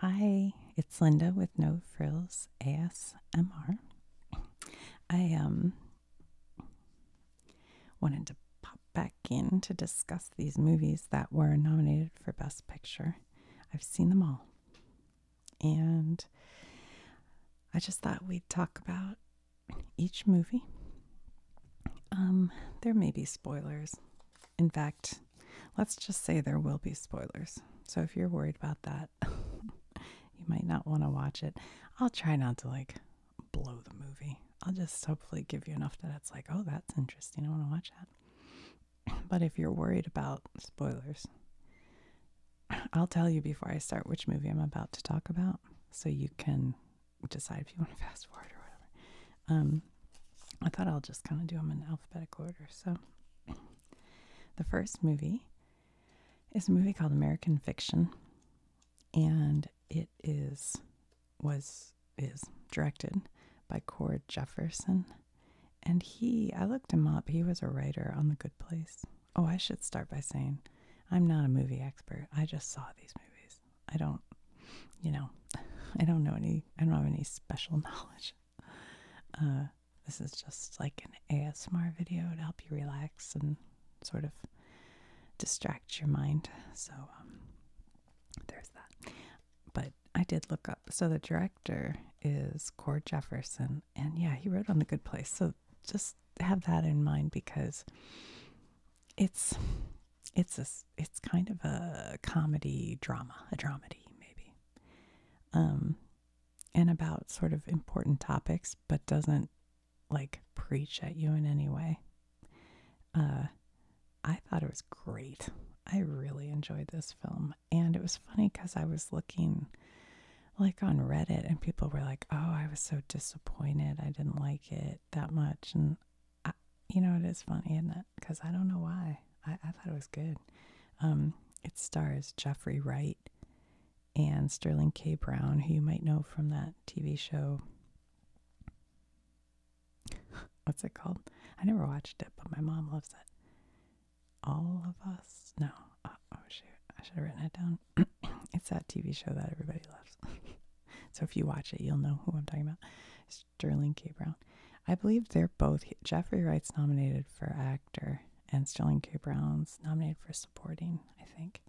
Hi, it's Linda with No Frills ASMR. I um wanted to pop back in to discuss these movies that were nominated for Best Picture. I've seen them all. And I just thought we'd talk about each movie. Um, there may be spoilers. In fact, let's just say there will be spoilers. So if you're worried about that, you might not want to watch it. I'll try not to like blow the movie. I'll just hopefully give you enough that it's like, oh, that's interesting. I want to watch that. But if you're worried about spoilers, I'll tell you before I start which movie I'm about to talk about so you can decide if you want to fast forward or whatever. Um, I thought I'll just kind of do them in alphabetical order. So, the first movie is a movie called American Fiction, and it is was is directed by Cord Jefferson, and he I looked him up. He was a writer on The Good Place. Oh, I should start by saying I'm not a movie expert. I just saw these movies. I don't, you know, I don't know any. I don't have any special knowledge uh, this is just like an ASMR video to help you relax and sort of distract your mind. So um, there's that. But I did look up. So the director is Core Jefferson, and yeah, he wrote on The Good Place. So just have that in mind because it's it's a, it's kind of a comedy drama, a dramedy maybe um, and about sort of important topics, but doesn't like preach at you in any way. Uh, I thought it was great. I really enjoyed this film. And it was funny because I was looking like on Reddit and people were like, oh, I was so disappointed. I didn't like it that much. And I, you know, it is funny, isn't it? Because I don't know why. I, I thought it was good. Um, it stars Jeffrey Wright and Sterling K. Brown, who you might know from that TV show. What's it called? I never watched it, but my mom loves it. All of Us? No. Uh, oh, shoot. I should have written it down. it's that TV show that everybody loves. so if you watch it, you'll know who I'm talking about. Sterling K. Brown. I believe they're both. Jeffrey Wright's nominated for actor, and Sterling K. Brown's nominated for supporting, I think.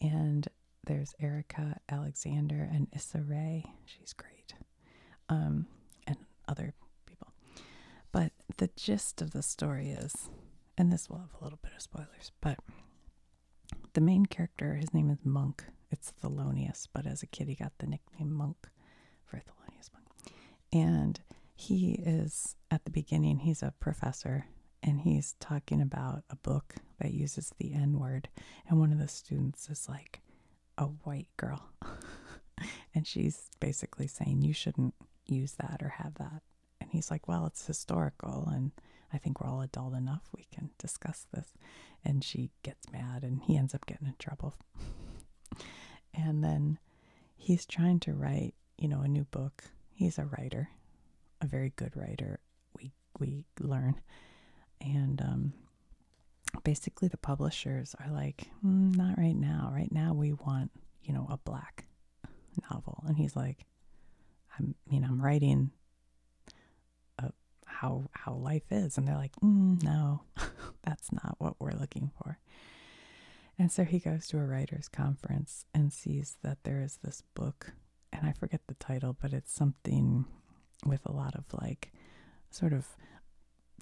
And there's Erica Alexander and Issa Rae. She's great. Um, and other people. But the gist of the story is, and this will have a little bit of spoilers, but the main character, his name is Monk. It's Thelonious, but as a kid, he got the nickname Monk monk, And he is at the beginning, he's a professor and he's talking about a book that uses the N word. And one of the students is like a white girl. and she's basically saying, You shouldn't use that or have that. And he's like, Well, it's historical. And I think we're all adult enough. We can discuss this. And she gets mad and he ends up getting in trouble and then he's trying to write, you know, a new book. He's a writer, a very good writer. We we learn, and um, basically the publishers are like, mm, not right now. Right now we want, you know, a black novel, and he's like, I mean, I'm writing how how life is and they're like mm, no that's not what we're looking for and so he goes to a writer's conference and sees that there is this book, and I forget the title, but it's something with a lot of like sort of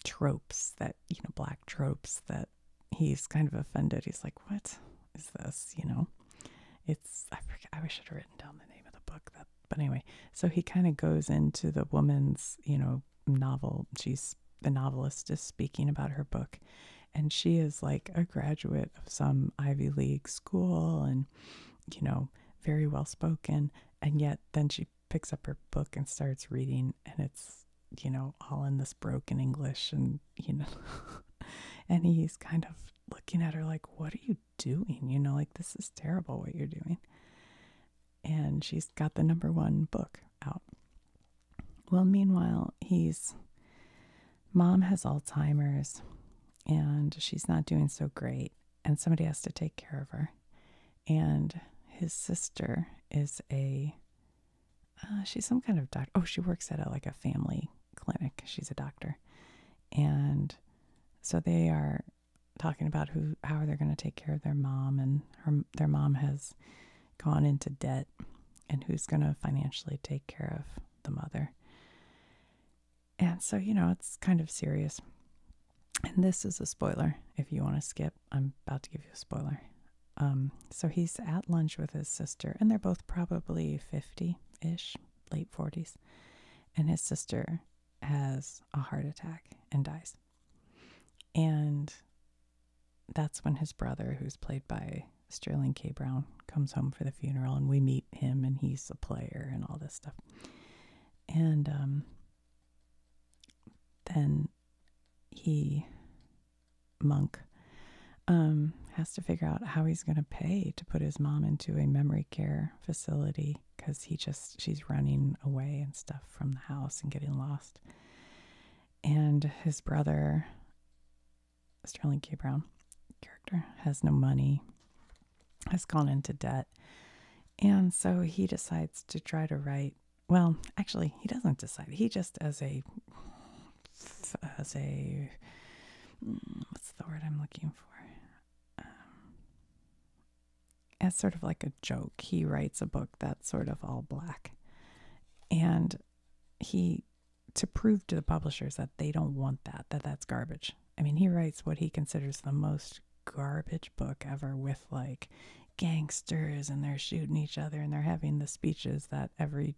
tropes that, you know, black tropes that he's kind of offended. He's like, what is this? You know, it's, I forget, I wish I'd written down the name of the book but anyway, so he kind of goes into the woman's, you know, novel. She's the novelist is speaking about her book, and she is like a graduate of some Ivy League school and, you know, very well spoken. And yet then she picks up her book and starts reading, and it's, you know, all in this broken English. And, you know, and he's kind of looking at her like, What are you doing? You know, like, this is terrible what you're doing and she's got the number one book out. Well, meanwhile, he's mom has Alzheimer's and she's not doing so great, and somebody has to take care of her. And his sister is a uh, she's some kind of doctor. Oh, she works at a, like a family clinic. She's a doctor, and so they are talking about who how are they going to take care of their mom and her their mom has gone into debt and who's going to financially take care of the mother. And so, you know, it's kind of serious. And this is a spoiler. If you want to skip, I'm about to give you a spoiler. Um, so he's at lunch with his sister, and they're both probably 50 ish, late 40s. And his sister has a heart attack and dies. And that's when his brother, who's played by Sterling K. Brown, comes home for the funeral, and we meet him, and he's a player and all this stuff. And um, then he, Monk, um, has to figure out how he's going to pay to put his mom into a memory care facility because he just, she's running away and stuff from the house and getting lost. And his brother, Sterling K. Brown, character, has no money, has gone into debt. And so he decides to try to write. Well, actually, he doesn't decide. He just, as a, as a, mm, what's the word I'm looking for? Um, as sort of like a joke, he writes a book that's sort of all black. And he, to prove to the publishers that they don't want that, that that's garbage. I mean, he writes what he considers the most garbage book ever with like gangsters and they're shooting each other and they're having the speeches that every,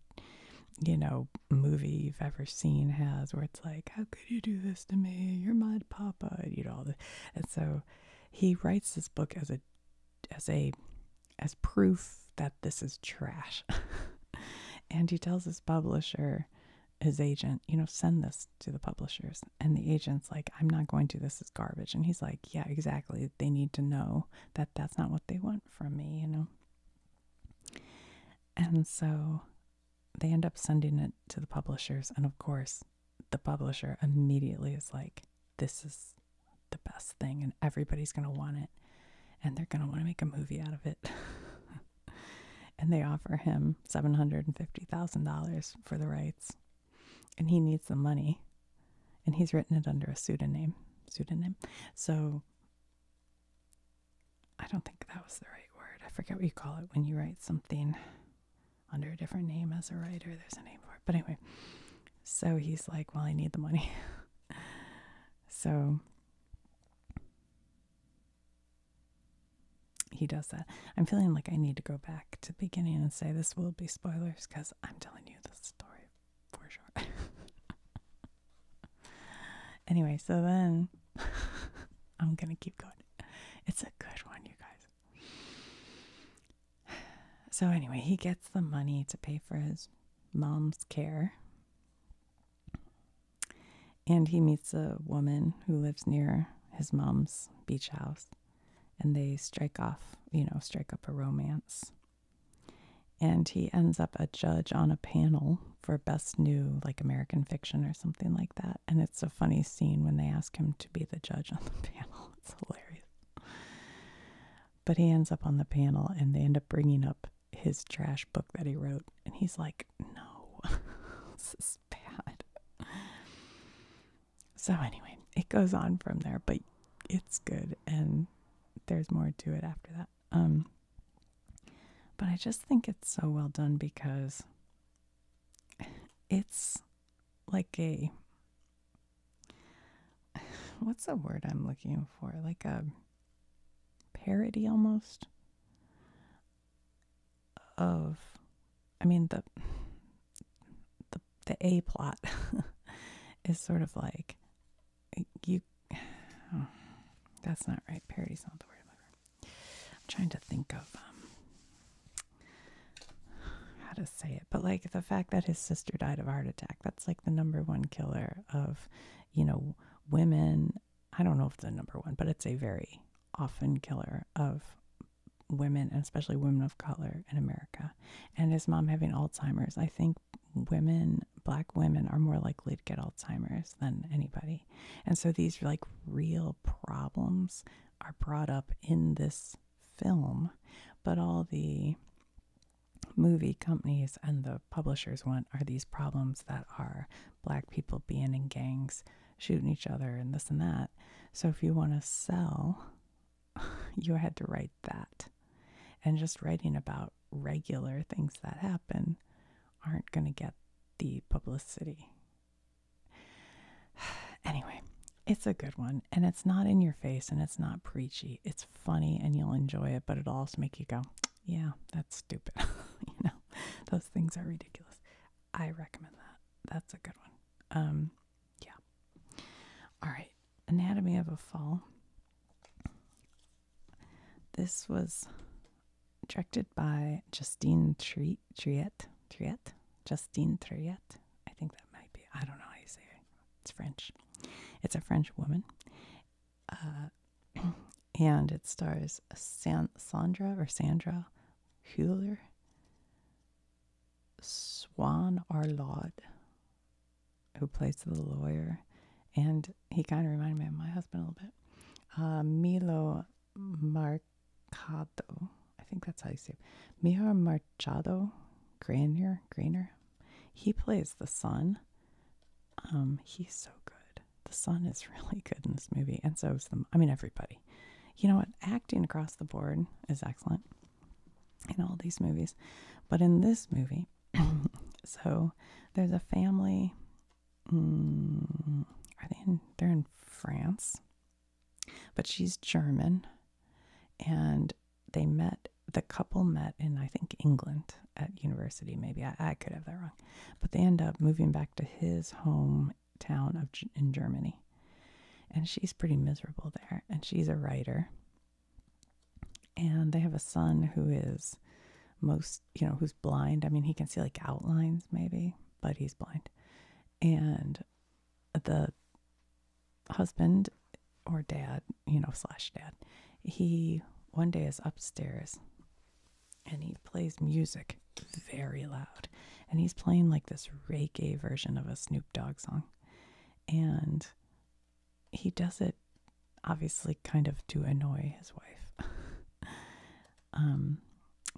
you know, movie you've ever seen has where it's like, how could you do this to me? You're my papa, you know, all this. And so he writes this book as a as a as proof that this is trash. and he tells his publisher, his agent, you know, send this to the publishers. And the agent's like, I'm not going to, this is garbage. And he's like, yeah, exactly. They need to know that that's not what they want from me, you know. And so they end up sending it to the publishers. And of course, the publisher immediately is like, this is the best thing, and everybody's going to want it, and they're going to want to make a movie out of it. and they offer him $750,000 for the rights, and he needs the money, and he's written it under a pseudonym. Pseudonym. So I don't think that was the right word. I forget what you call it when you write something under a different name as a writer. There's a name for it. But anyway, so he's like, Well, I need the money. so he does that. I'm feeling like I need to go back to the beginning and say this will be spoilers because I'm telling you the story for sure. anyway, so then I'm going to keep going. It's a good one, you guys. So, anyway, he gets the money to pay for his mom's care. And he meets a woman who lives near his mom's beach house. And they strike off, you know, strike up a romance. And he ends up a judge on a panel for best new, like American fiction or something like that. And it's a funny scene when they ask him to be the judge on the panel. It's hilarious. But he ends up on the panel and they end up bringing up his trash book that he wrote. And he's like, no, this is bad. So, anyway, it goes on from there, but it's good. And there's more to it after that. Um, but I just think it's so well done because it's like a what's the word I'm looking for? Like a parody almost of I mean the the the A plot is sort of like you that's not right. Parody's not the word I'm trying to think of um, how to say it, but like the fact that his sister died of heart attack, that's like the number one killer of, you know, women. I don't know if the number one, but it's a very often killer of women, and especially women of color in America. And his mom having Alzheimer's, I think women, black women, are more likely to get Alzheimer's than anybody. And so these like real problems are brought up in this film, but all the movie companies and the publishers want are these problems that are black people being in gangs, shooting each other, and this and that. So if you want to sell, you had to write that. And just writing about regular things that happen aren't going to get the publicity. anyway, it's a good one, and it's not in your face and it's not preachy. It's funny and you'll enjoy it, but it'll also make you go, yeah, that's stupid. you know, those things are ridiculous. I recommend that. That's a good one. Um, yeah. All right. Anatomy of a Fall. This was directed by Justine Triet. Triet? Justine Triet? I think that might be. I don't know how you say it. It's French. It's a French woman. Uh, and it stars San- Sandra or Sandra Hewler, Swan Arlaud, who plays the lawyer. And he kind of reminded me of my husband a little bit. Uh, Milo Marcado, I think that's how you say it. Mihar Chado, Granier Grainer. He plays the son. Um, he's so good. The son is really good in this movie, and so is the. I mean, everybody. You know what? Acting across the board is excellent in all these movies, but in this movie, so there's a family. Mm, are they in? They're in France, but she's German, and they met, the couple met in, I think, England at university, maybe. I, could have that wrong. But they end up moving back to his hometown of, in Germany. And she's pretty miserable there. And she's a writer. And they have a son who is most, you know, who's blind. I mean, he can see like outlines maybe, but he's blind. And the husband or dad, you know, slash dad, he one day is upstairs and he plays music very loud. And he's playing like this reggae version of a Snoop Dogg song. And he does it obviously kind of to annoy his wife. um,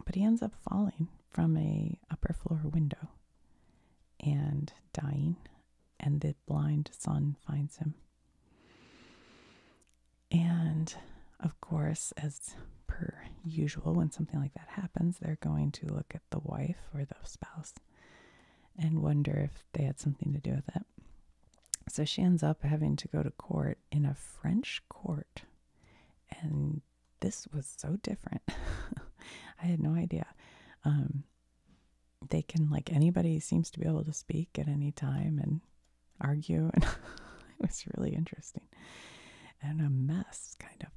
but he ends up falling from a upper floor window and dying and the blind son finds him. And of course, as per usual, when something like that happens, they're going to look at the wife or the spouse and wonder if they had something to do with it. So she ends up having to go to court in a French court. And this was so different. I had no idea. Um, they can like anybody seems to be able to speak at any time and argue and it was really interesting and a mess kind of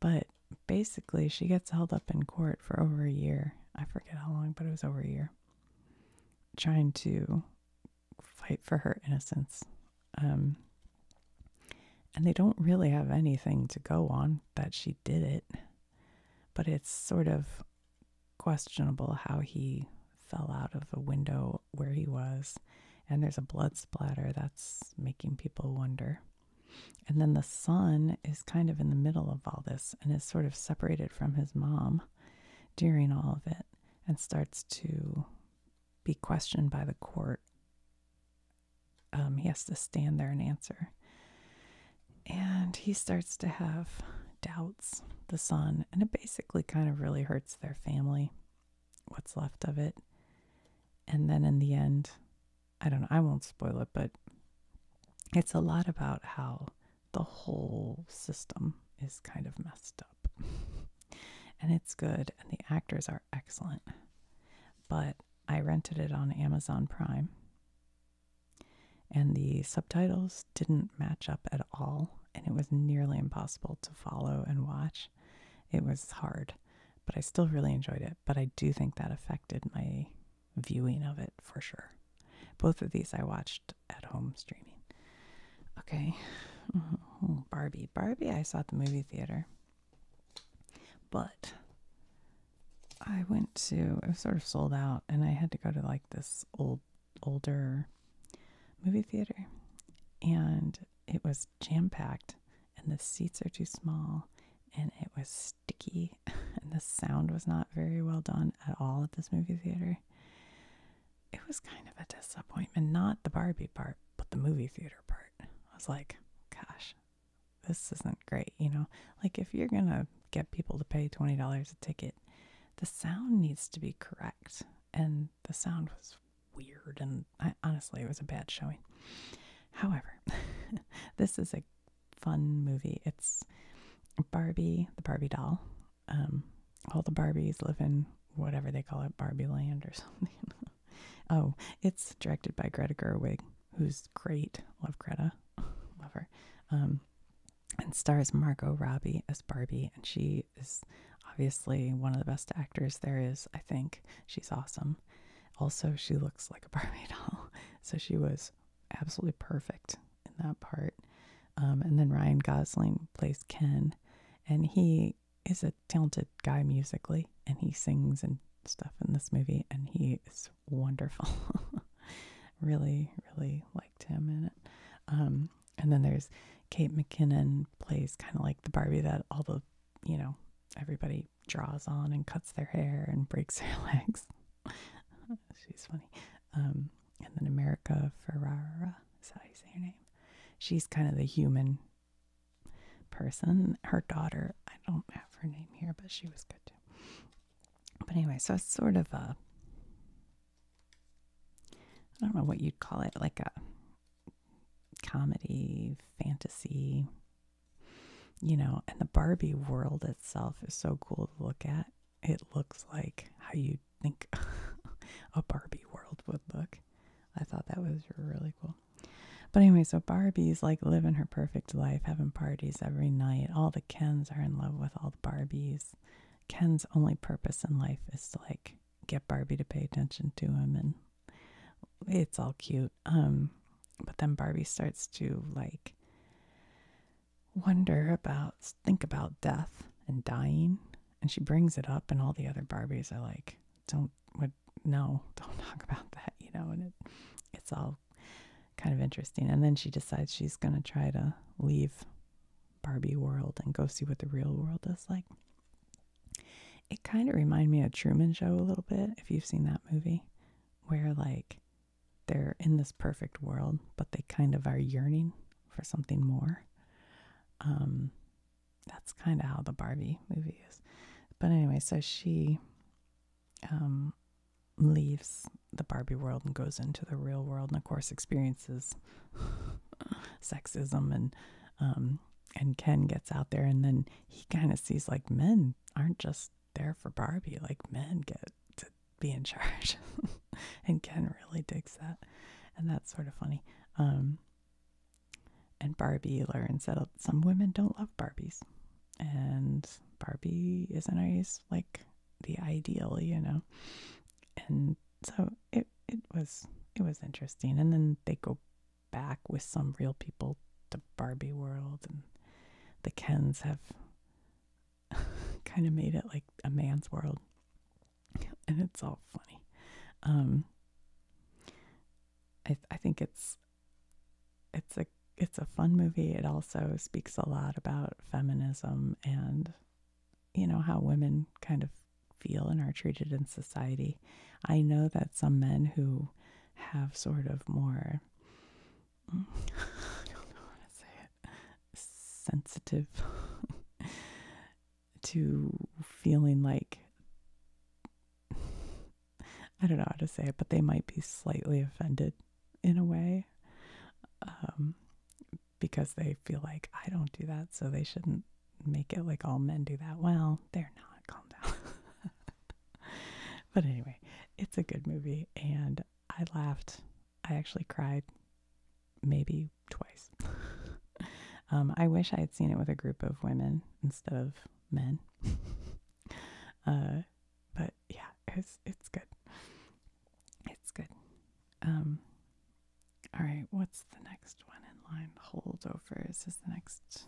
but basically she gets held up in court for over a year i forget how long but it was over a year trying to fight for her innocence um, and they don't really have anything to go on that she did it but it's sort of questionable how he fell out of a window where he was. And there's a blood splatter that's making people wonder. And then the son is kind of in the middle of all this and is sort of separated from his mom during all of it and starts to be questioned by the court. Um, he has to stand there and answer. And he starts to have doubts, the son, and it basically kind of really hurts their family, what's left of it. And then in the end, I don't know, I won't spoil it, but it's a lot about how the whole system is kind of messed up. and it's good, and the actors are excellent. But I rented it on Amazon Prime and the subtitles didn't match up at all, and it was nearly impossible to follow and watch. It was hard, but I still really enjoyed it. But I do think that affected my viewing of it for sure. Both of these I watched at home streaming. Okay, Barbie. Barbie, I saw at the movie theater, but I went to it was sort of sold out and I had to go to like this old older movie theater and it was jam packed and the seats are too small and it was sticky and the sound was not very well done at all at this movie theater. It was kind of a disappointment, not the Barbie part, but the movie theater part. I was like, gosh, this isn't great, you know? Like, if you're going to get people to pay $20 a ticket, the sound needs to be correct. And the sound was weird, and honestly, it was a bad showing. However, this is a fun movie. It's Barbie, the Barbie doll. Um, all the Barbies live in whatever they call it, Barbie Land or something. oh, it's directed by Greta Gerwig who's great. Love Greta. Love her. Um, and stars Margot Robbie as Barbie. And she is obviously one of the best actors there is, I think. She's awesome. Also, she looks like a Barbie doll. So she was absolutely perfect in that part. Um, and then Ryan Gosling plays Ken. And he is a talented guy musically. And he sings and stuff in this movie. And he is wonderful. really, really liked him in it. Um, and then there's Kate McKinnon plays kind of like the Barbie that all the, you know, everybody draws on and cuts their hair and breaks their legs. She's funny. Um, and then America Ferrara, is that how you say your name? She's kind of the human person. Her daughter, I don't have her name here, but she was good too. But anyway, so it's sort of a, I don't know what you'd call it, like a comedy, fantasy, you know, and the Barbie world itself is so cool to look at. It looks like how you think a Barbie world would look. I thought that was really cool. But anyway, so Barbie's like living her perfect life, having parties every night, all the. Kens are in love with all the Barbies. Ken's only purpose in life is to like get Barbie to pay attention to him and it's all cute. Um but then Barbie starts to like wonder about think about death and dying and she brings it up and all the other Barbies are like don't would no, don't talk about that, you know, and it it's all kind of interesting. And then she decides she's going to try to leave Barbie world and go see what the real world is like. It kind of reminds me of Truman Show a little bit, if you've seen that movie, where like they're in this perfect world, but they kind of are yearning for something more. Um, that's kind of how the Barbie movie is. But anyway, so she um, leaves the Barbie world and goes into the real world, and of course experiences sexism and um, and Ken gets out there, and then he kind of sees like men aren't just there for Barbie, like men get to be in charge, and Ken really digs that, and that's sort of funny. Um, and Barbie learns that some women don't love Barbies, and Barbie is a nice like the ideal, you know. And so it it was it was interesting. And then they go back with some real people to Barbie World and the Kens have kind of made it like a man's world. And it's all funny. Um I I think it's it's a it's a fun movie. It also speaks a lot about feminism and you know how women kind of feel and are treated in society. I know that some men who have sort of more I don't know how to say sensitive to feeling like I don't know how to say it, but they might be slightly offended in a way um, because they feel like I don't do that, so they shouldn't make it like all men do that. Well, they're not. Calm down. but anyway, it's a good movie, and I laughed. I actually cried maybe twice. Um, I wish I had seen it with a group of women instead of men. Uh, but yeah, it's it's good. It's good. Um all right, what's the next one in line? Holdovers is the next.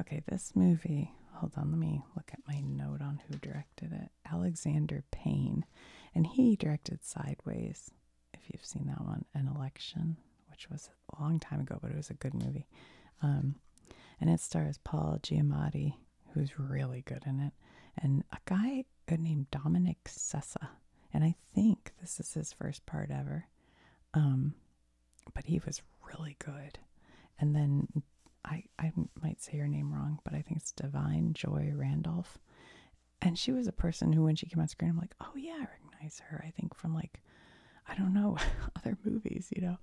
Okay, this movie. Hold on, let me look at my note on who directed it. Alexander Payne. And he directed Sideways, if you've seen that one, An Election, which was a long time ago, but it was a good movie. Um, and it stars Paul Giamatti who's really good in it, and a guy named Dominic Sessa. And I think this is his first part ever. Um, but he was really good. And then I, I might say her name wrong, but I think it's Divine Joy Randolph. And she was a person who, when she came on screen, I'm like, oh yeah, I recognize her. I think from like, I don't know, other movies, you know.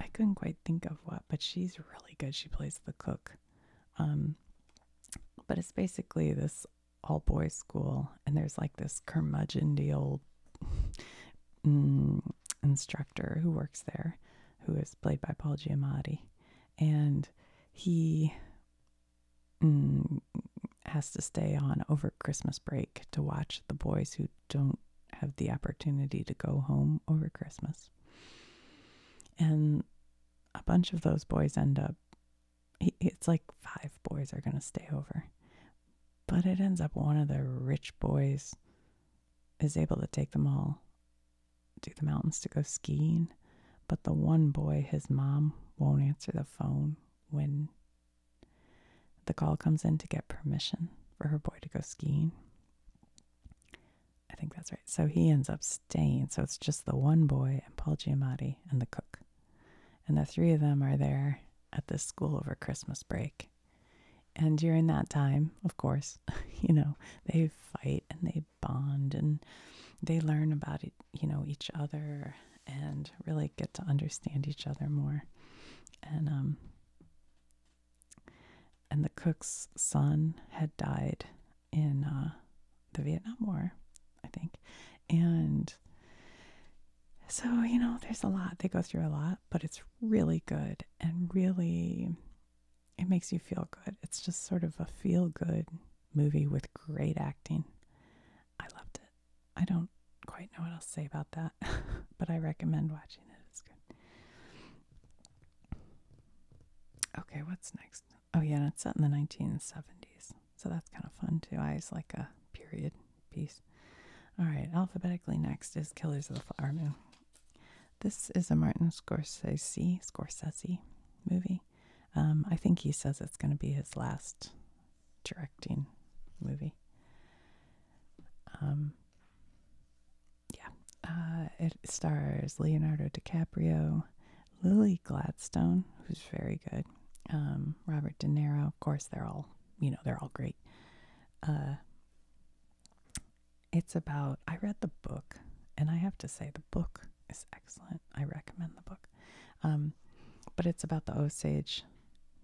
I couldn't quite think of what, but she's really good. She plays the cook um, but it's basically this all boys school, and there's like this curmudgeonly old mm, instructor who works there, who is played by Paul Giamatti, and he mm, has to stay on over Christmas break to watch the boys who don't have the opportunity to go home over Christmas. And a bunch of those boys end up, it's like five boys are going to stay over. But it ends up one of the rich boys is able to take them all to the mountains to go skiing. But the one boy, his mom, won't answer the phone when the call comes in to get permission for her boy to go skiing. I think that's right. So he ends up staying. So it's just the one boy and Paul Giamatti and the cook. And the three of them are there at this school over Christmas break. And during that time, of course, you know, they fight and they bond and they learn about, you know, each other and really get to understand each other more. And um, and the cook's son had died in uh, the Vietnam War, I think. And so, you know, there's a lot. They go through a lot, but it's really good and really, it makes you feel good. It's just sort of a feel good movie with great acting. I loved it. I don't quite know what else to say about that, but I recommend watching it. It's good. Okay, what's next? Oh, yeah, and it's set in the 1970s. So that's kind of fun, too. I like a period piece. All right, alphabetically next is Killers of the Flower Moon. This is a Martin Scorsese, movie. Um, I think he says it's going to be his last directing movie. Um, yeah, uh, it stars Leonardo DiCaprio, Lily Gladstone, who's very good, um, Robert De Niro. Of course, they're all you know they're all great. Uh, it's about I read the book, and I have to say the book is excellent. I recommend the book, um, but it's about the Osage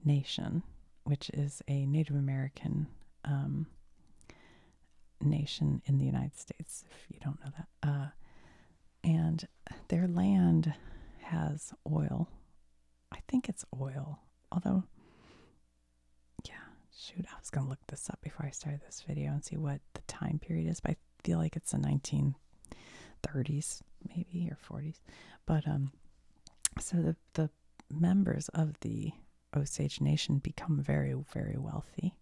Nation, which is a Native American um, nation in the United States, if you don't know that. Uh, and their land has oil. I think it's oil, although, yeah, shoot, I was going to look this up before I started this video and see what the time period is, but I feel like it's the 1930s, maybe, or 40s. But, um, so the, the members of the Osage Nation become very, very wealthy.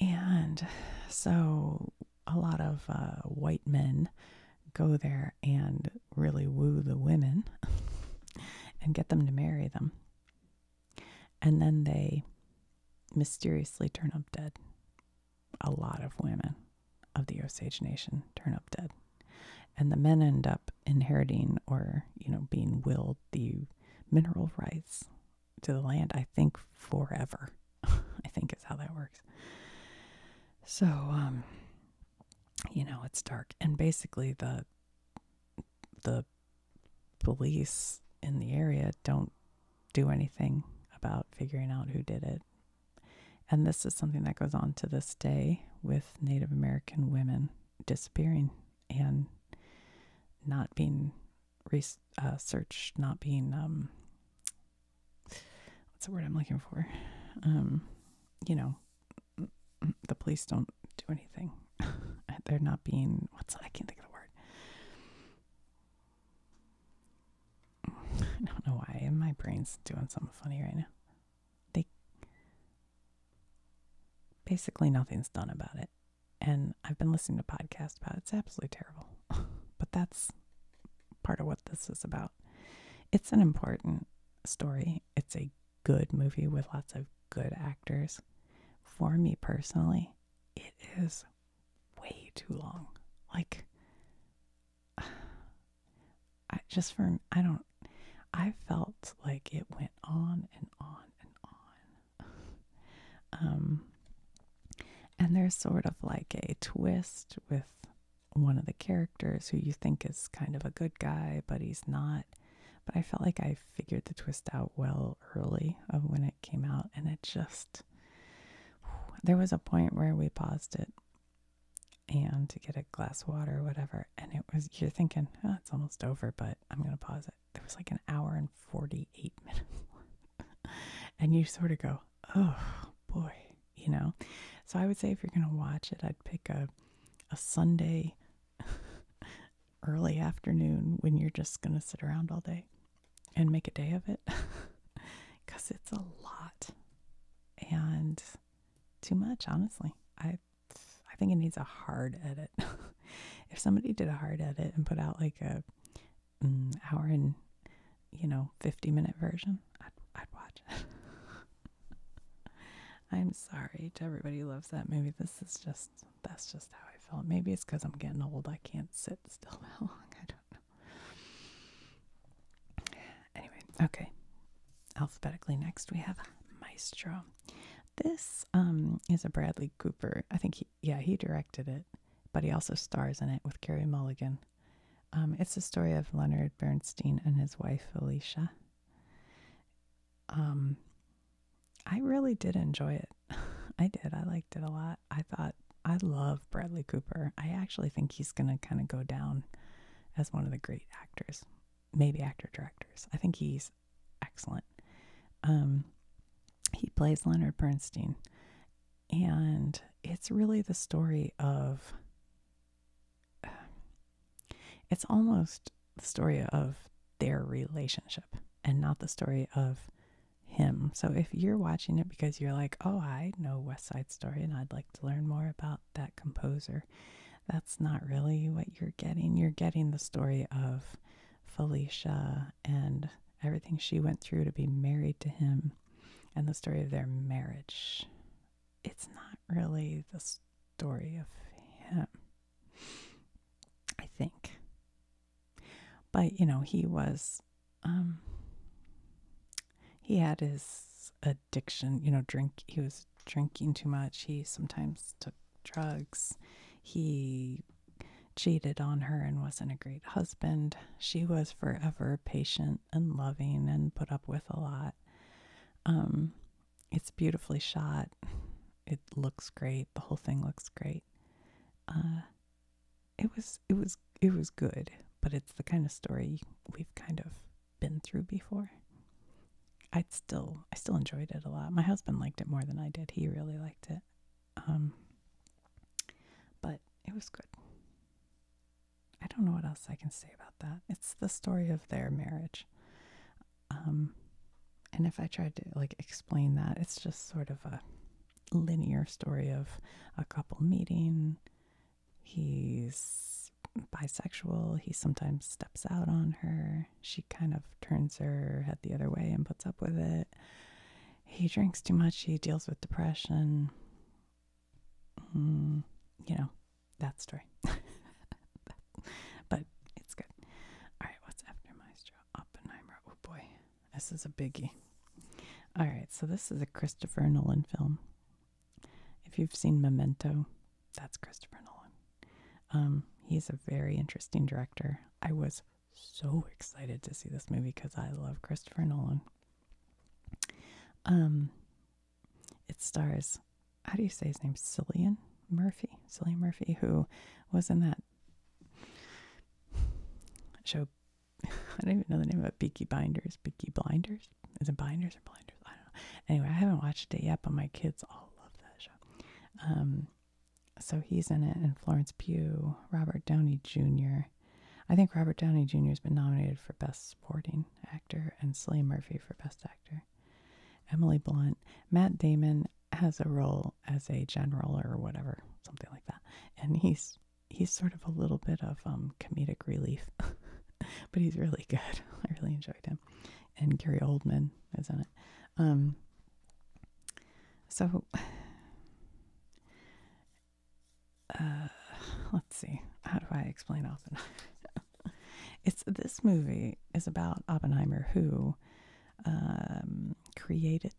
And so a lot of uh, white men go there and really woo the women and get them to marry them. And then they mysteriously turn up dead. A lot of women of the Osage Nation turn up dead. And the men end up inheriting or, you know, being willed the mineral rights to the land, I think forever. I think is how that works. So, um, you know, it's dark. And basically the the police in the area don't do anything about figuring out who did it. And this is something that goes on to this day with Native American women disappearing and not being research uh, not being um, what's the word I'm looking for? Um, you know, the police don't do anything. They're not being what's I can't think of the word. I don't know why and my brain's doing something funny right now. They basically nothing's done about it. And I've been listening to podcasts about It's absolutely terrible. but that's part of what this is about. It's an important story. It's a good movie with lots of good actors. For me personally, it is way too long. Like, I just for I don't, I felt like it went on and on and on um, and there's sort of like a twist with one of the characters who you think is kind of a good guy, but he's not. But I felt like I figured the twist out well early of when it came out, and it just there was a point where we paused it and to get a glass of water or whatever, and it was you're thinking, oh, it's almost over, but I'm gonna pause it there was like an hour and 48 minutes and you sort of go oh boy you know so i would say if you're going to watch it i'd pick a a sunday early afternoon when you're just going to sit around all day and make a day of it cuz it's a lot and too much honestly i i think it needs a hard edit if somebody did a hard edit and put out like a mm, hour and you know 50 minute version, I'd, I'd watch I'm sorry to everybody who loves that movie. This is just that's just how I felt. Maybe it's because I'm getting old. I can't sit still long. I don't know. Anyway, okay. Alphabetically next we have Maestro. This um, is a Bradley Cooper. I think he yeah, he directed it, but he also stars in it with Carrie Mulligan. Um, it's the story of Leonard Bernstein and his wife Alicia. Um, I really did enjoy it. I did. I liked it a lot. I thought I love Bradley Cooper. I actually think he's going to kind of go down as one of the great actors, maybe actor directors. I think he's excellent. Um, he plays Leonard Bernstein, and it's really the story of. it's almost the story of their relationship and not the story of him. So if you're watching it because you're like, oh, I know West Side Story and I'd like to learn more about that composer, that's not really what you're getting. You're getting the story of Felicia and everything she went through to be married to him and the story of their marriage. It's not really the story of him, I think. But, you know, he was, um, he had his addiction, you know, drink, he was drinking too much. He sometimes took drugs. He cheated on her and wasn't a great husband. She was forever patient and loving and put up with a lot. Um, it's beautifully shot. It looks great. The whole thing looks great. Uh, it was it was it was good, but it's the kind of story we've kind of been through before. I still I still enjoyed it a lot. My husband liked it more than I did. He really liked it. Um, but it was good. I don't know what else I can say about that. It's the story of their marriage. Um, and if I tried to like explain that, it's just sort of a linear story of a couple meeting. He's bisexual. He sometimes steps out on her. She kind of turns her head the other way and puts up with it he drinks too much, he deals with depression. Mm, you know, that story. but it's good. All right, what's after Maestro Oppenheimer? Oh boy, this is a biggie. All right, so this is a Christopher Nolan film. If you've seen Memento, that's Christopher Nolan. Um, he's a very interesting director. I was so excited to see this movie because I love Christopher Nolan. Um, it stars, how do you say his name? Cillian Murphy. Cillian Murphy, who was in that show. I don't even know the name of it. Beaky Binders. Beaky Blinders? Is it Binders or Blinders? I don't know. Anyway, I haven't watched it yet, but my kids all love that show. Um, so he's in it, and Florence Pugh, Robert Downey Jr. I think Robert Downey Jr. has been nominated for Best Supporting Actor and Cillian Murphy for Best Actor. Emily Blunt, Matt Damon has a role as a general or whatever, something like that, and he's he's sort of a little bit of um, comedic relief, but he's really good. I really enjoyed him, and Gary Oldman is in it. Um, so, uh, let's see. How do I explain Oppenheimer? it's this movie is about Oppenheimer who um, created.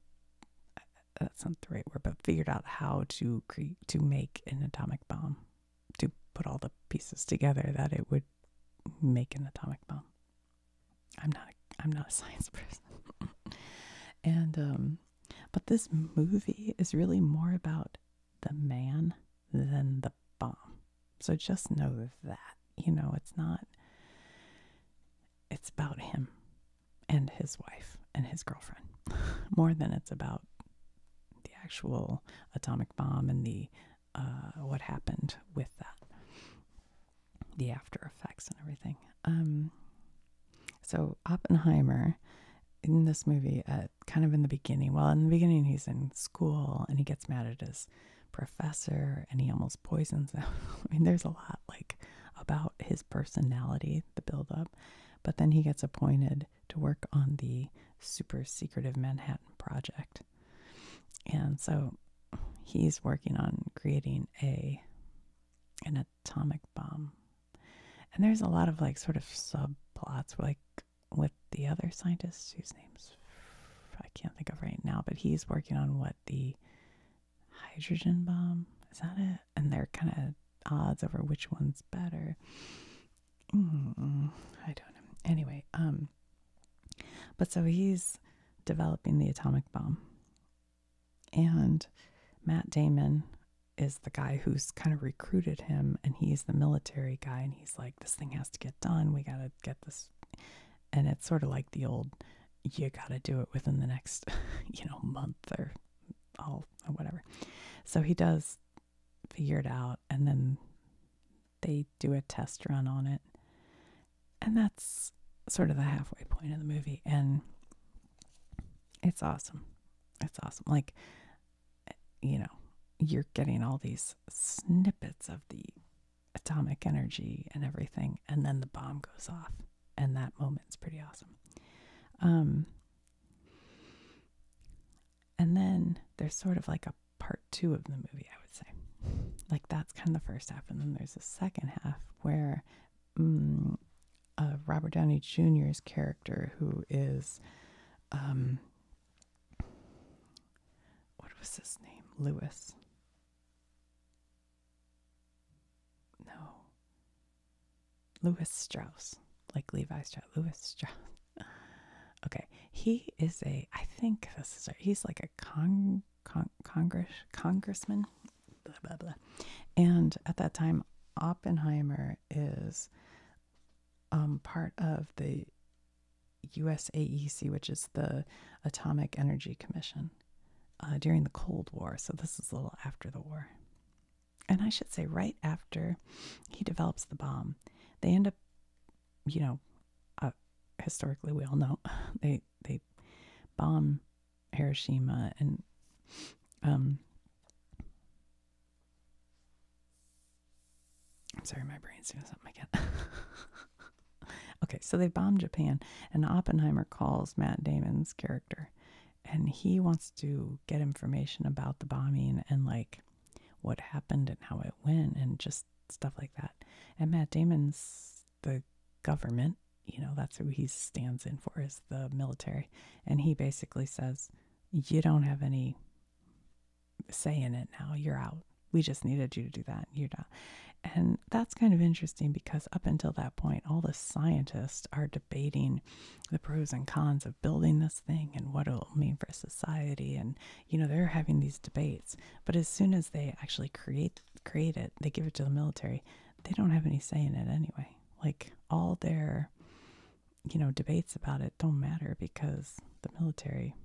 Uh, that's not the right word, but figured out how to create to make an atomic bomb, to put all the pieces together that it would make an atomic bomb. I'm not I'm not a science person. and um but this movie is really more about the man than the bomb. So just know that, you know, it's not it's about him and his wife and his girlfriend more than it's about the actual atomic bomb and the uh, what happened with that the after effects and everything. Um, so Oppenheimer in this movie, uh, kind of in the beginning, well, in the beginning he's in school and he gets mad at his professor and he almost poisons him. I mean, there's a lot like about his personality, the buildup. But then he gets appointed to work on the super secretive Manhattan Project. And so he's working on creating a an atomic bomb. And there's a lot of like sort of subplots, like with the other scientist whose name's I can't think of right now, but he's working on what the hydrogen bomb is that it? And they're kind of odds over which one's better. Mm, I don't know. Anyway, um, but so he's developing the atomic bomb, and Matt Damon is the guy who's kind of recruited him, and he's the military guy, and he's like, This thing has to get done. We got to get this. And it's sort of like the old, You got to do it within the next, you know, month or all, or whatever. So he does figure it out, and then they do a test run on it and that's sort of the halfway point of the movie. And it's awesome. It's awesome. Like, eh, you know, you're getting all these snippets of the atomic energy and everything. And then the bomb goes off. And that moment's pretty awesome. Um, and then there's sort of like a part two of the movie, I would say. Like that's kind of the first half. And then there's a second half where um, Robert Downey Jr.'s character, who is, um, what was his name? Lewis. No. Louis Strauss, like Levi Strauss. Louis Strauss. okay, he is a. I think this is. A, he's like a con Congress congressman, blah, blah, blah. And at that time, Oppenheimer is um, part of the USAEC, which is the Atomic Energy Commission, uh, during the Cold War. So this is a little after the war. And I should say, right after he develops the bomb, they end up, you know, uh, historically we all know they they bomb Hiroshima and um I'm sorry, my brain's doing something again. okay, so they bomb Japan, and Oppenheimer calls Matt Damon's character, and he wants to get information about the bombing and like what happened and how it went and just stuff like that. And Matt Damon's the government. You know, that's who he stands in for is the military. And he basically says, You don't have any say in it now. You're out. We just needed you to do that. You're out." And that's kind of interesting because up until that point, all the scientists are debating the pros and cons of building this thing and what it'll mean for society. And, you know, they're having these debates. But as soon as they actually create, create it, they give it to the military they don't have any say in it anyway. Like all their, you know, debates about it don't matter because the military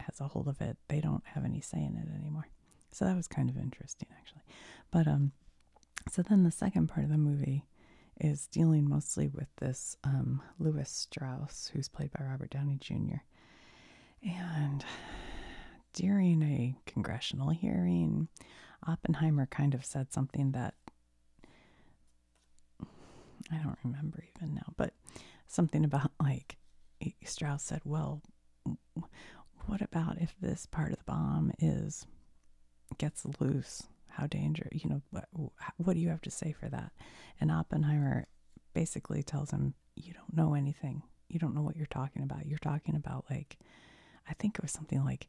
has a hold of it. They don't have any say in it anymore. So that was kind of interesting actually. But um so then the second part of the movie is dealing mostly with this um Louis Strauss who's played by Robert Downey Jr. And during a congressional hearing, Oppenheimer kind of said something that I don't remember even now, but something about like Strauss said, well, what about if this part of the bomb is gets loose? How dangerous, you know, what do you have to say for that? And Oppenheimer basically tells him, you don't know anything you don't know what you're talking about. You're talking about like I think it was something like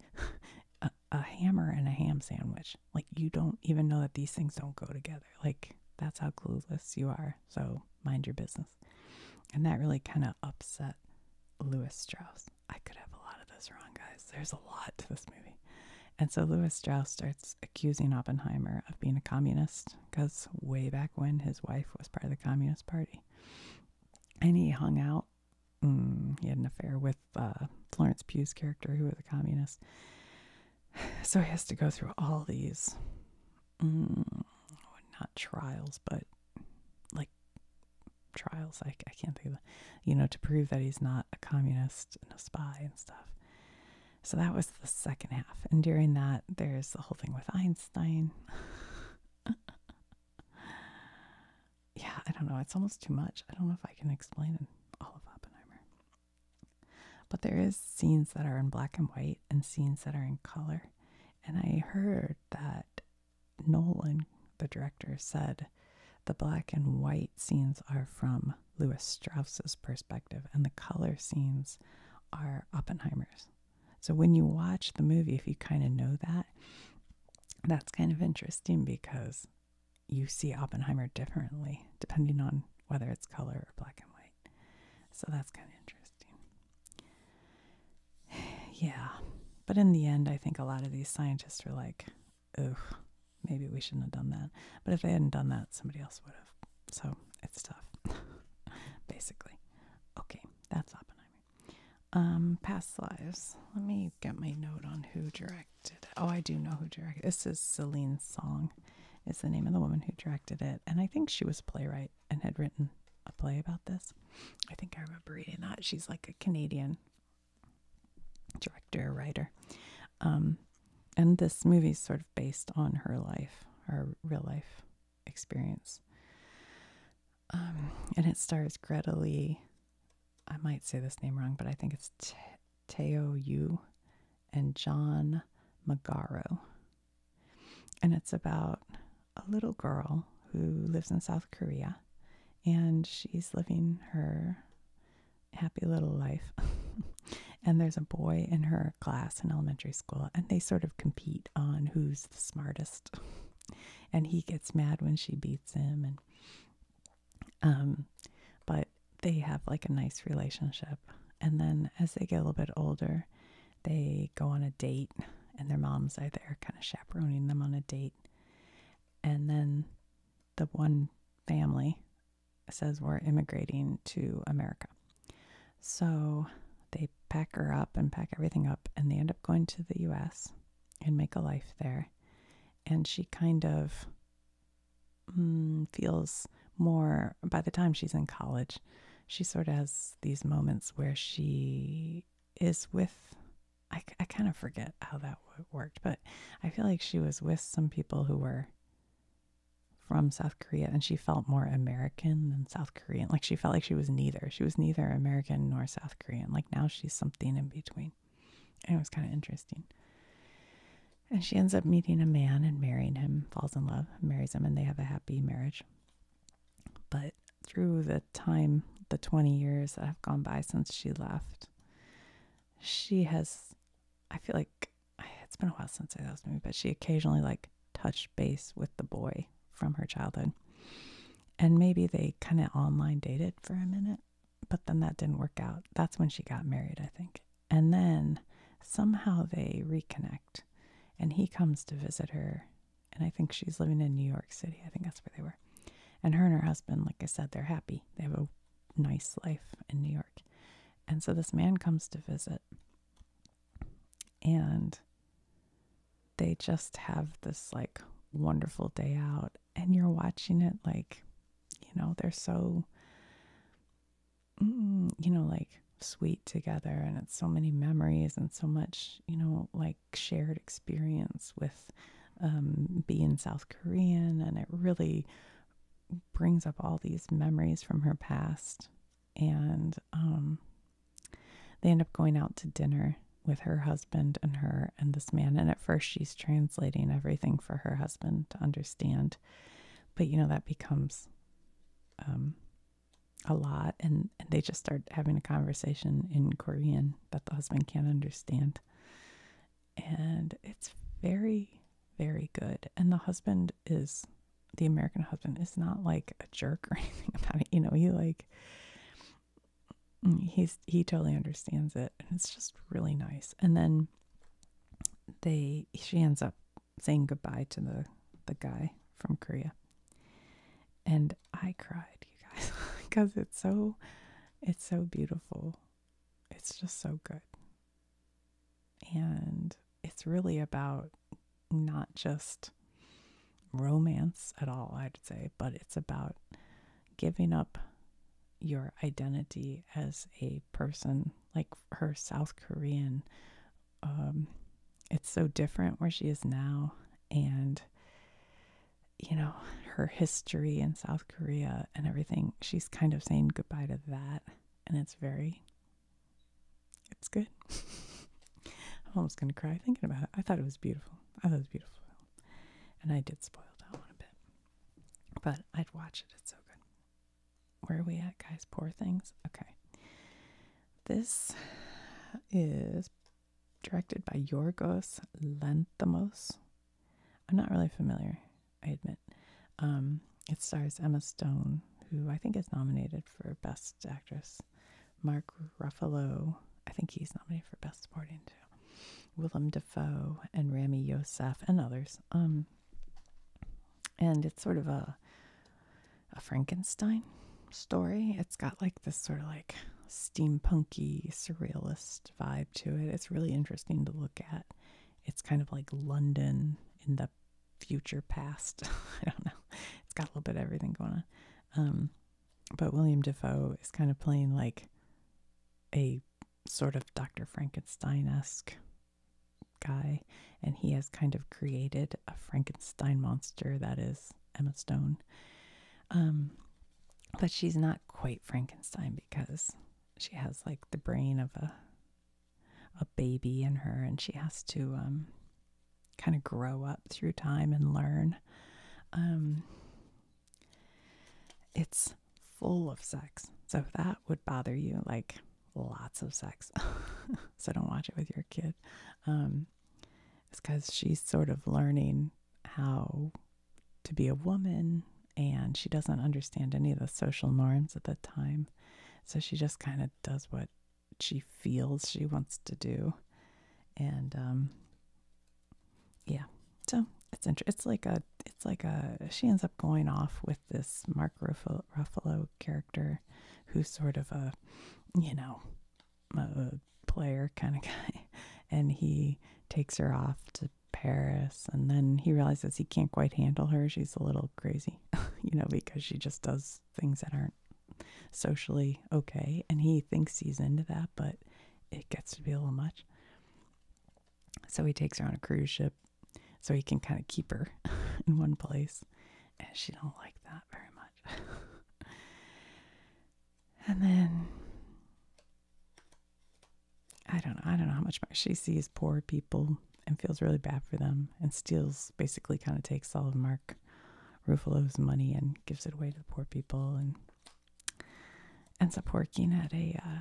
a, hammer and a ham sandwich. Like you don't even know that these things don't go together. Like that's how clueless you are. So mind your business. And that really kind of upset Louis Strauss. I could have a lot of this wrong, guys. There's a lot to this movie. And so Louis Strauss starts accusing Oppenheimer of being a communist because way back when his wife was part of the Communist Party. And he hung out Mm, he had an affair with uh, Florence Pugh's character, who was a communist. So he has to go through all these, mm, not trials, but like trials. I, I can't think of, you know, to prove that he's not a communist and a spy and stuff. So that was the second half. And during that, there's the whole thing with Einstein. yeah, I don't know. It's almost too much. I don't know if I can explain it, all of Oppenheimer. But there is scenes that are in black and white and scenes that are in color. And I heard that Nolan, the director, said the black and white scenes are from Louis Strauss's perspective and the color scenes are Oppenheimer's. So when you watch the movie, if you kind of know that, that's kind of interesting because you see Oppenheimer differently depending on whether it's color or black and white. So that's kind of interesting. yeah. But in the end, I think a lot of these scientists are like, ugh, maybe we shouldn't have done that. But if they hadn't done that, somebody else would have. So it's tough, basically. Okay, that's Oppenheimer. Um, past lives. Let me get my note on who directed. Oh, I do know who directed. This is Celine's song. It's the name of the woman who directed it, and I think she was a playwright and had written a play about this. I think I remember reading that. She's like a Canadian director, writer. Um, and this movie is sort of based on her life, her real life experience. Um, and it stars Greta Lee. I might say this name wrong, but I think it's T- Teo Yu and John Magaro. And it's about a little girl who lives in South Korea and she's living her happy little life. and there's a boy in her class in elementary school, and they sort of compete on who's the smartest. and he gets mad when she beats him and um but they have like a nice relationship and then as they get a little bit older they go on a date and their moms are there kind of chaperoning them on a date and then the one family says we're immigrating to America. So they pack her up and pack everything up, and they end up going to the US and make a life there. And she kind of mm, feels more, by the time she's in college, she sort of has these moments where she is with, I, I kind of forget how that worked, but I feel like she was with some people who were from South Korea and she felt more American than South Korean. Like she felt like she was neither. She was neither American nor South Korean. Like now she's something in between. And it was kind of interesting. And she ends up meeting a man and marrying him, falls in love, marries him, and they have a happy marriage. But through the time, the 20 years that have gone by since she left, she has, I feel like it's been a while since I saw this movie, but she occasionally like touched base with the boy from her childhood. And maybe they kind of online dated for a minute, but then that didn't work out. That's when she got married, I think. And then somehow they reconnect and he comes to visit her. And I think she's living in New York City. I think that's where they were. And her and her husband, like I said, they're happy. They have a nice life in New York. And so this man comes to visit. And they just have this like wonderful day out and you're watching it like you know they're so mm, you know like sweet together and it's so many memories and so much you know like shared experience with um, being south korean and it really brings up all these memories from her past and um, they end up going out to dinner with her husband and her and this man. And at first, she's translating everything for her husband to understand. But, you know, that becomes um, a lot. And, and they just start having a conversation in Korean that the husband can't understand. And it's very, very good. And the husband is, the American husband is not like a jerk or anything about it. You know, he like, he's he totally understands it and it's just really nice and then they she ends up saying goodbye to the the guy from korea and i cried you guys because it's so it's so beautiful it's just so good and it's really about not just romance at all, I'd say, but it's about giving up your identity as a person, like her South Korean. Um, it's so different where she is now, and you know, her history in South Korea and everything. She's kind of saying goodbye to that, and it's very, it's good. I'm almost gonna cry thinking about it. I thought it was beautiful. I thought it was beautiful. And I did spoil that one a bit. But I'd watch it, it's so good. Where are we at, guys? Poor things? Okay. This is directed by Yorgos Lanthimos. I'm not really familiar, I admit. Um, it stars Emma Stone, who I think is nominated for Best Actress Mark Ruffalo, I think he's nominated for Best Supporting too. Willem Dafoe and Rami Yosef and others. Um, and it's sort of a a Frankenstein story. It's got like this sort of like steampunky surrealist vibe to it. It's really interesting to look at. It's kind of like London in the future past. I don't know. It's got a little bit of everything going on. Um, but William Defoe is kind of playing like a sort of Dr. Frankenstein esque guy, and he has kind of created a Frankenstein monster that is Emma Stone. Um, but she's not quite Frankenstein because she has like the brain of a a baby in her, and she has to um, kind of grow up through time and learn. Um, it's full of sex. So if that would bother you, like lots of sex. so don't watch it with your kid. Um, it's because she's sort of learning how to be a woman and she doesn't understand any of the social norms at the time. So she just kind of does what she feels she wants to do. And um, yeah so it's interesting it's like a it's like a she ends up going off with this mark ruffalo, character who's sort of a you know a player kind of guy and he takes her off to paris and then he realizes he can't quite handle her she's a little crazy you know because she just does things that aren't socially okay and he thinks he's into that but it gets to be a little much. So he takes her on a cruise ship so he can kind of keep her in one place. And she don't like that very much. and then I don't know, I don't know how much more. she sees poor people and feels really bad for them and steals basically kind of takes all of Mark Ruffalo's money and gives it away to the poor people and ends up working at a uh,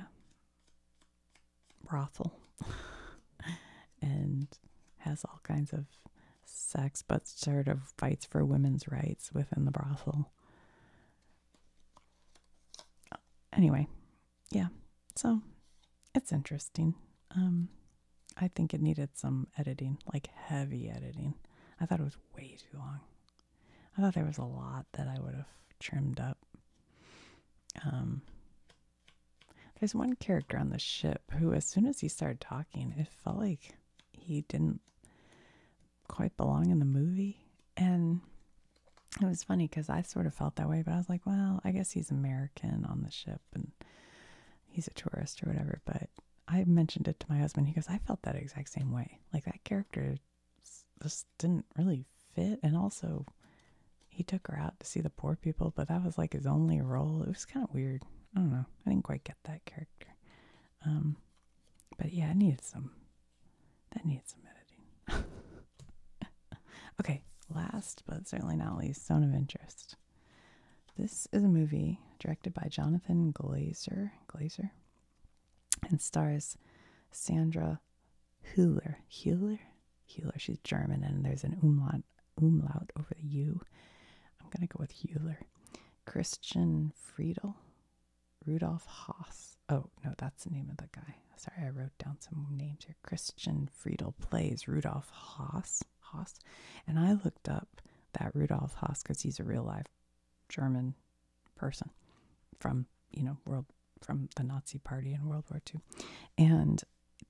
brothel and has all kinds of sex, but sort of fights for women's rights within the brothel. Anyway, yeah, so it's interesting. Um, I think it needed some editing, like heavy editing. I thought it was way too long. I thought there was a lot that I would have trimmed up. Um, there's one character on the ship who, as soon as he started talking, it felt like he didn't quite belong in the movie. And it was funny because I sort of felt that way, but I was like, well, I guess he's American on the ship and he's a tourist or whatever. But I mentioned it to my husband. He goes, I felt that exact same way. Like that character this didn't really fit. And also, he took her out to see the poor people, but that was like his only role. It was kind of weird. I don't know. I didn't quite get that character. Um, but yeah, it needed some. That needed some editing. okay, last but certainly not least, Zone of Interest. This is a movie directed by Jonathan Glazer. Glazer and stars Sandra Hüller. Hüller? Hüller. She's German, and there's an umlaut, umlaut over the U. I'm going to go with Hüller. Christian Friedel. Rudolf Haas. Oh, no, that's the name of the guy. Sorry, I wrote down some names here. Christian Friedel plays Rudolf Haas. Haas. And I looked up that Rudolf Haas because he's a real life German person from, you know, world from the Nazi party in World War II. And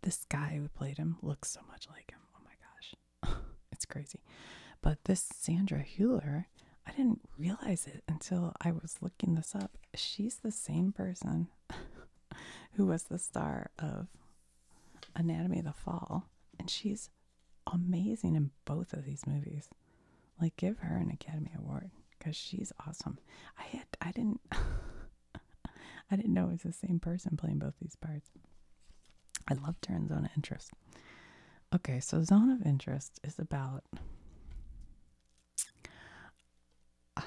this guy who played him looks so much like him. Oh my gosh. it's crazy. But this Sandra Hewler, I didn't realize it until I was looking this up. She's the same person who was the star of Anatomy of the Fall, and she's amazing in both of these movies. Like, give her an Academy Award because she's awesome. I had I didn't I didn't know it was the same person playing both these parts. I love her in Zone of Interest. Okay, so Zone of Interest is about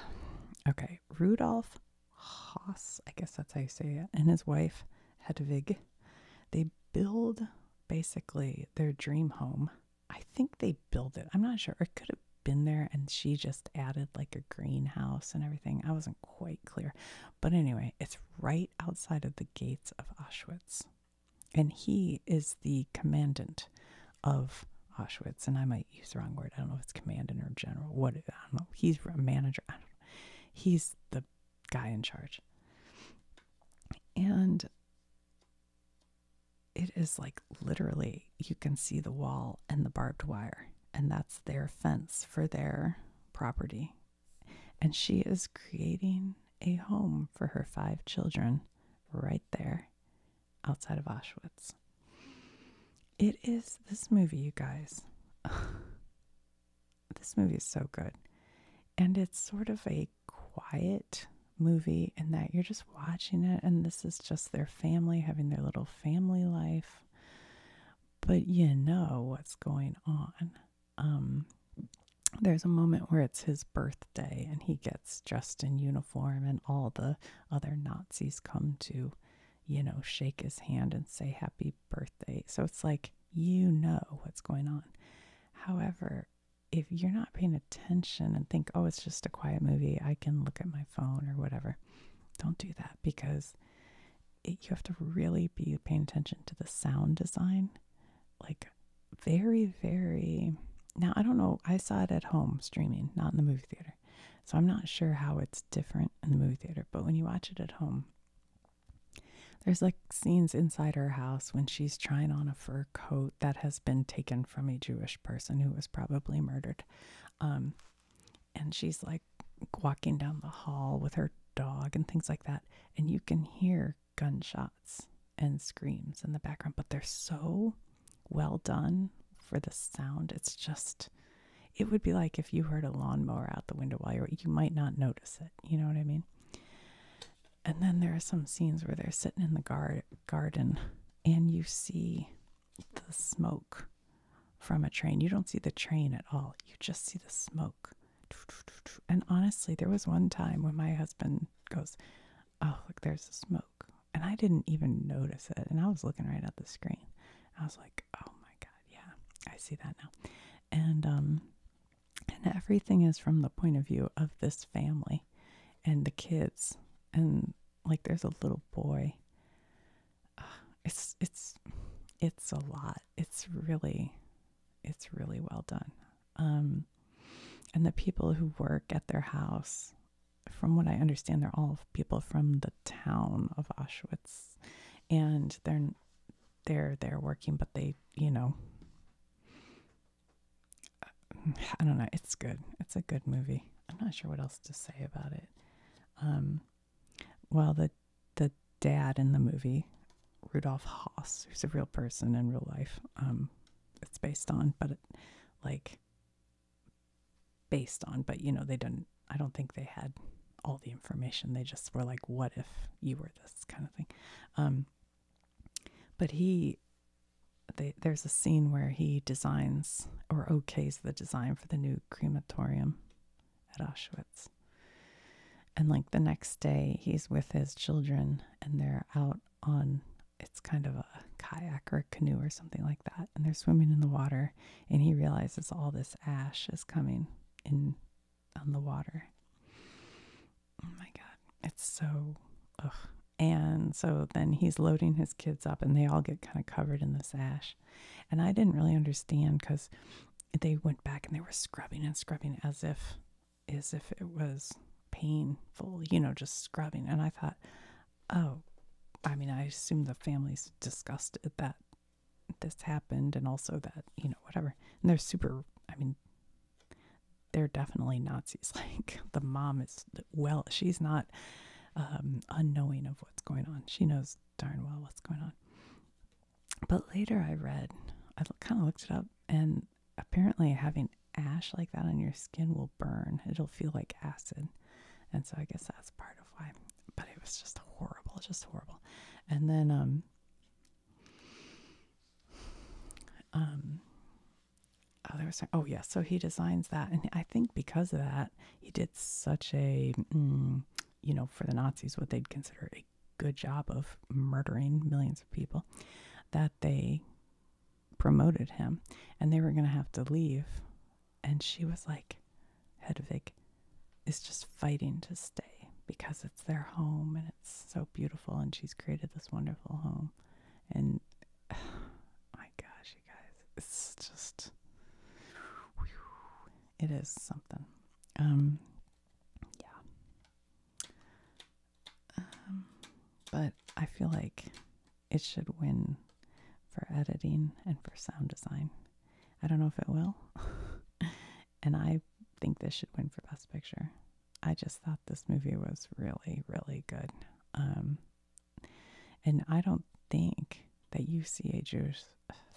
okay Rudolf Haas, I guess that's how you say it, and his wife Hedwig. They build basically their dream home. I think they built it. I'm not sure. It could have been there and she just added like a greenhouse and everything. I wasn't quite clear. But anyway, it's right outside of the gates of Auschwitz. And he is the commandant of Auschwitz. And I might use the wrong word. I don't know if it's commandant or general. What I don't know. He's a manager. He's the guy in charge. And it is like literally you can see the wall and the barbed wire, and that's their fence for their property. And she is creating a home for her five children right there outside of Auschwitz. It is this movie, you guys. this movie is so good. And it's sort of a quiet movie and that you're just watching it and this is just their family having their little family life but you know what's going on um there's a moment where it's his birthday and he gets dressed in uniform and all the other Nazis come to you know shake his hand and say happy birthday so it's like you know what's going on however if you're not paying attention and think, oh, it's just a quiet movie, I can look at my phone or whatever, don't do that because you have to really be paying attention to the sound design. Like, very, very. Now, I don't know. I saw it at home streaming, not in the movie theater. So I'm not sure how it's different in the movie theater. But when you watch it at home, there's like scenes inside her house when she's trying on a fur coat that has been taken from a Jewish person who was probably murdered. Um, and she's like walking down the hall with her dog and things like that. And you can hear gunshots and screams in the background, but they're so well done for the sound. It's just, it would be like if you heard a lawnmower out the window while you're, you might not notice it. You know what I mean? and then there are some scenes where they're sitting in the garden and you see the smoke from a train. You don't see the train at all, you just see the smoke. And honestly, there was one time when my husband goes, Oh, look, there's the smoke. And I didn't even notice it. And I was looking right at the screen. I was like, Oh my God, yeah, I see that now. And um, and everything is from the point of view of this family and the kids. And like there's a little boy. it's it's it's a lot. It's really it's really well done. Um and the people who work at their house, from what I understand, they're all people from the town of Auschwitz. And they're they're they're working, but they, you know, I don't know. It's good. It's a good movie. I'm not sure what else to say about it. Um, well, the the dad in the movie, Rudolf Haas, who's a real person in real life, um, it's based on, but like based on, but you know they didn't. I don't think they had all the information. They just were like, "What if you were this?" kind of thing. Um, but he, there's a scene where he designs or okays the design for the new crematorium at Auschwitz. And like the next day, he's with his children and they're out on it's kind of a kayak or a canoe or something like that. And they're swimming in the water and he realizes all this ash is coming in on the water. Oh my God. It's so, ugh. And so then he's loading his kids up and they all get kind of covered in this ash. And I didn't really understand because they went back and they were scrubbing and scrubbing as if, as if it was painful, you know, just scrubbing. And I thought, oh, I mean, I assume the family's disgusted that this happened and also that, you know, whatever. And they're super, I mean, they're definitely Nazis. Like the mom is well, she's not um, unknowing of what's going on. She knows darn well what's going on. But later I read, I kind of looked it up, and apparently having ash like that on your skin will burn. It'll feel like acid. And so I guess that's part of why. But it was just horrible, just horrible. And then um um oh, there was some, oh yeah, so he designs that, and I think because of that, he did such a mm, you know for the Nazis what they'd consider a good job of murdering millions of people that they promoted him, and they were gonna have to leave, and she was like, Hedwig is just fighting to stay because it's their home and so beautiful and she's created this wonderful home and my gosh you guys it's just it is something um yeah um but i feel like it should win for editing and for sound design i don't know if it will and i think this should win for best picture I just thought this movie was really, really good. Um, and I don't think that you see a Jewish,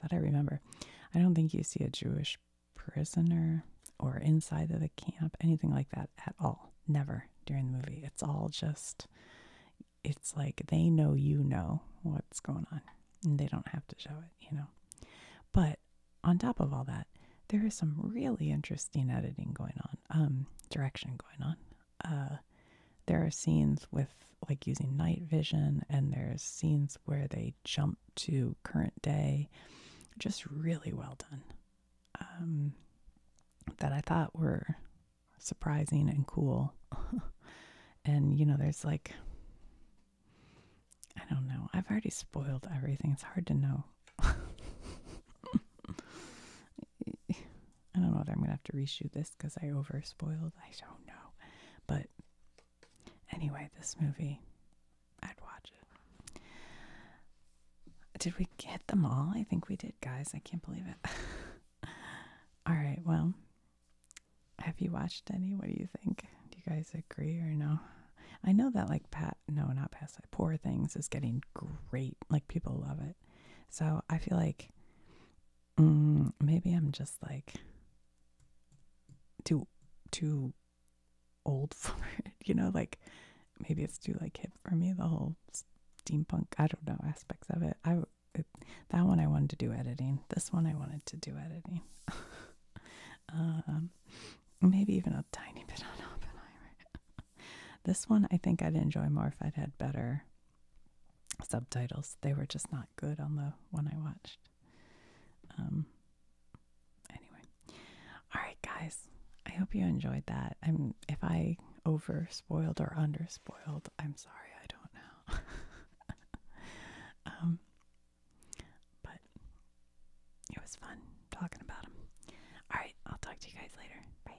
that I remember, I don't think you see a Jewish prisoner or inside of the camp, anything like that at all. Never during the movie. It's all just, it's like they know you know what's going on and they don't have to show it, you know. But on top of all that, there is some really interesting editing going on um, direction going on. Uh, there are scenes with like using night vision, and there's scenes where they jump to current day. Just really well done. Um, that I thought were surprising and cool. and, you know, there's like, I don't know. I've already spoiled everything. It's hard to know I don't know what I'm gonna have to reshoot this because I over spoiled. I don't know. But anyway, this movie, I'd watch it. Did we get them all? I think we did, guys. I can't believe it. all right, well, have you watched any? What do you think? Do you guys agree or no? I know that, like, Pat no, not past that. Poor Things is getting great. Like people love it. So I feel like mm, maybe I'm just like too too old for it. You know, like maybe it's too like hip for me. The whole steampunk, I don't know, aspects of it. I that one I wanted to do editing. This one I wanted to do editing. um, maybe even a tiny bit on Oppenheimer this one I think I'd enjoy more if I'd had better subtitles. They were just not good on the one I watched. Um, anyway, all right, guys. I hope you enjoyed that. I'm if I over spoiled or under spoiled, I'm sorry. I don't know. um, but it was fun talking about them. All right, I'll talk to you guys later. Bye.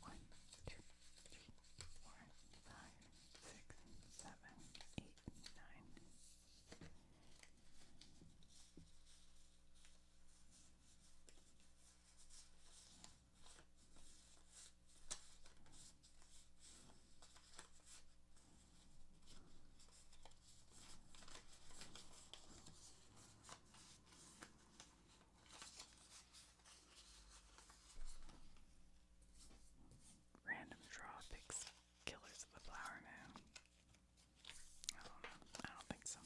One, two, three, four, five, six, seven, eight, nine. Random draw picks Killers of the Flower Moon. I don't know. I don't think so.